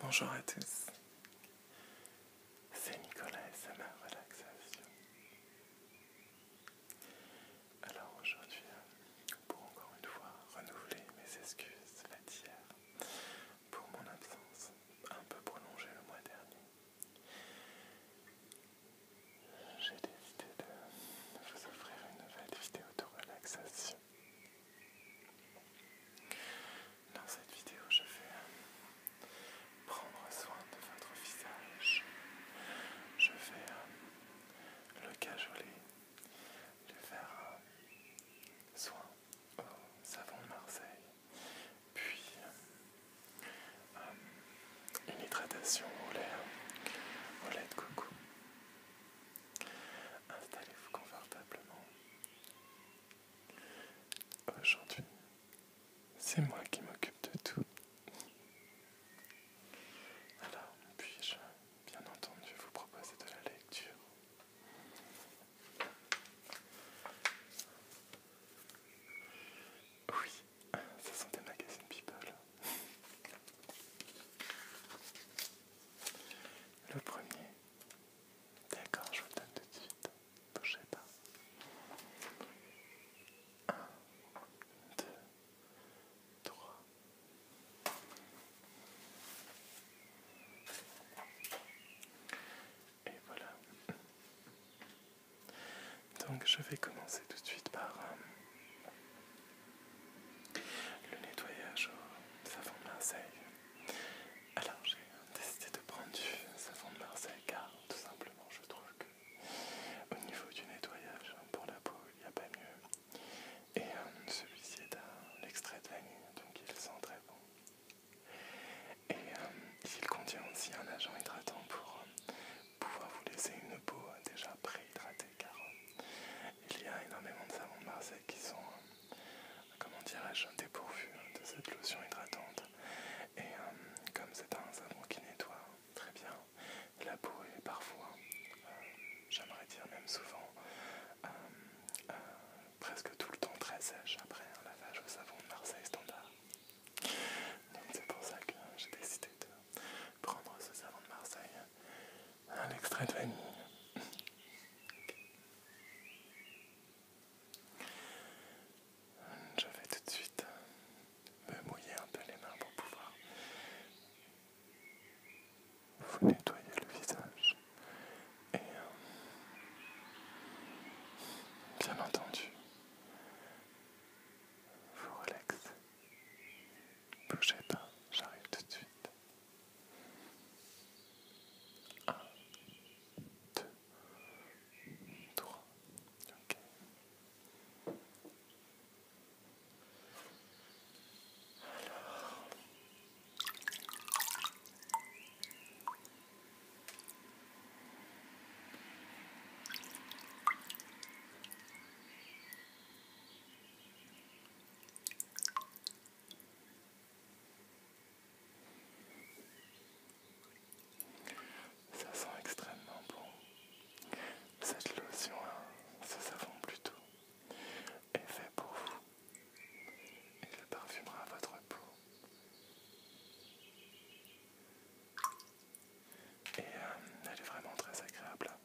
Bonjour à tous, c'est Nicolas et c'est ma relaxation. Alors aujourd'hui, euh, pour encore une fois renouveler mes excuses hier pour mon absence un peu prolongée le mois dernier, j'ai décidé de vous offrir une nouvelle vidéo de relaxation Dans cette vidéo, je vais euh, prendre soin de votre visage. Je vais euh, le cajoler, le faire euh, soin au savon de Marseille, puis une hydratation au lait, au lait de coco. Installez-vous confortablement. Aujourd'hui, c'est moi qui m'occupe de tout. Alors, puis-je bien entendu vous proposer de la lecture Oui, ce sont des magazines People. Le premier. D'accord, je vous donne tout de suite. Bougez pas. 1, 2, 3. Et voilà. Donc je vais commencer tout de suite par euh, le nettoyage au savon de Marseille. Alors j'ai décidé de prendre du savon de Marseille car tout simplement je trouve que au niveau du nettoyage pour la peau il n'y a pas mieux. Et euh, celui-ci est un extrait de vanille donc il sent très bon. Et euh, il contient aussi un agent hydratant pour euh, pouvoir vous laisser une peau déjà préhydratée car il y a énormément de savons de Marseille qui sont, euh, comment dirais-je, dépourvus hein, de cette lotion hydratante. Et euh, comme c'est un savon qui nettoie très bien la peau est parfois, euh, j'aimerais dire même souvent, presque tout le temps très sèche après un lavage au savon de Marseille standard. Donc c'est pour ça que j'ai décidé de prendre ce savon de Marseille un extrait de vanille Je vais tout de suite me mouiller un peu les mains pour pouvoir vous nettoyer le visage. Et euh, bien entendu, vous relaxe. Blochette, hein, j'arrive tout de suite. 1, 2, 3, ok. Alors... Ça sent extrêmement bon. Cette lotion, ce hein, savon plutôt, est fait pour vous. Il parfumera votre peau. Et euh, elle est vraiment très agréable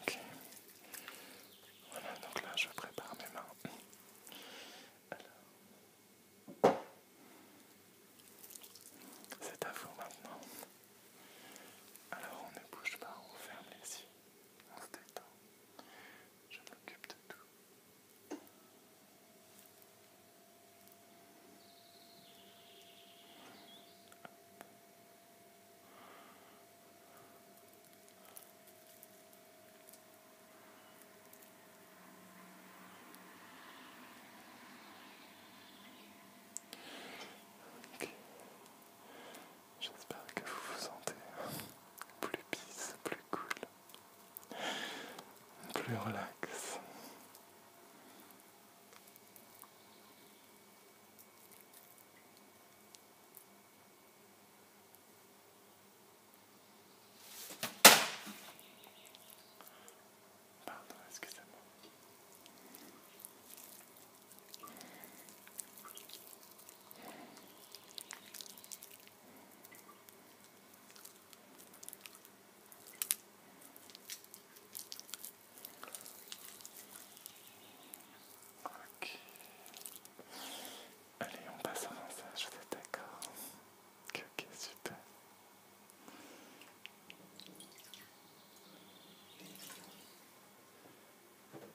Ok. Voilà, donc là je prépare mes mains. C'est à vous maintenant. Alors on ne bouge pas, on ferme les yeux, on se détend. Je m'occupe de tout. J'espère que vous vous sentez plus pisse, plus cool plus relax. Pardon, excusez-moi. Ok. Allez, on passe au ça. vous êtes d'accord ok, super.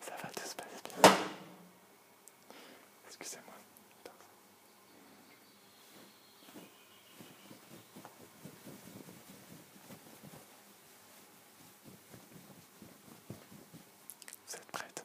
Ça va, tout se passer. bien. Excusez-moi. Vous êtes prête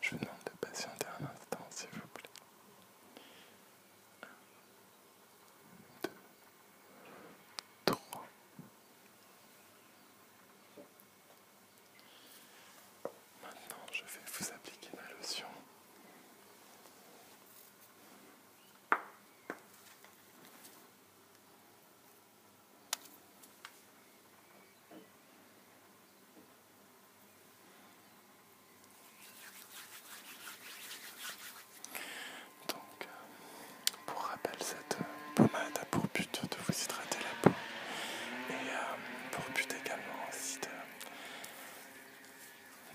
Je demande de patienter un instant, s'il vous plaît. Un, deux, trois. Maintenant, je vais vous appliquer ma lotion. Donc, euh, pour rappel, cette euh, pommade a pour but de vous hydrater la peau et euh, pour but également aussi de,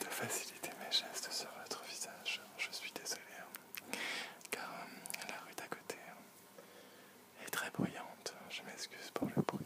faciliter mes gestes sur votre visage. Je suis désolé, hein, car la rue d'à côté est très bruyante. Je m'excuse pour le bruit.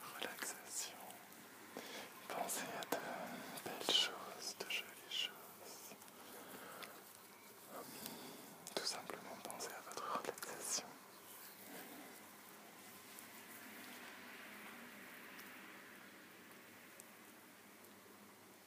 Relaxation. Pensez à de belles choses, de jolies choses. Tout simplement pensez à votre Relaxation.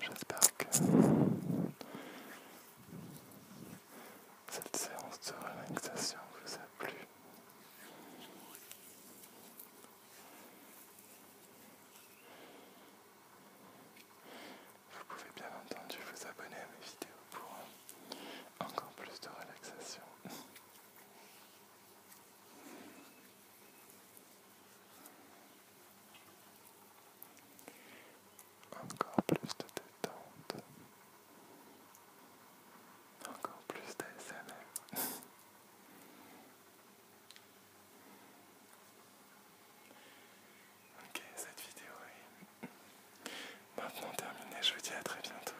J'espère que cette séance de relaxation vous a plu. Vous pouvez bien entendu vous abonner à mes vidéos pour encore plus de relaxation. Encore plus de détente. Encore plus d'ASMR. ok, cette vidéo est maintenant terminée. Je vous dis à très bientôt.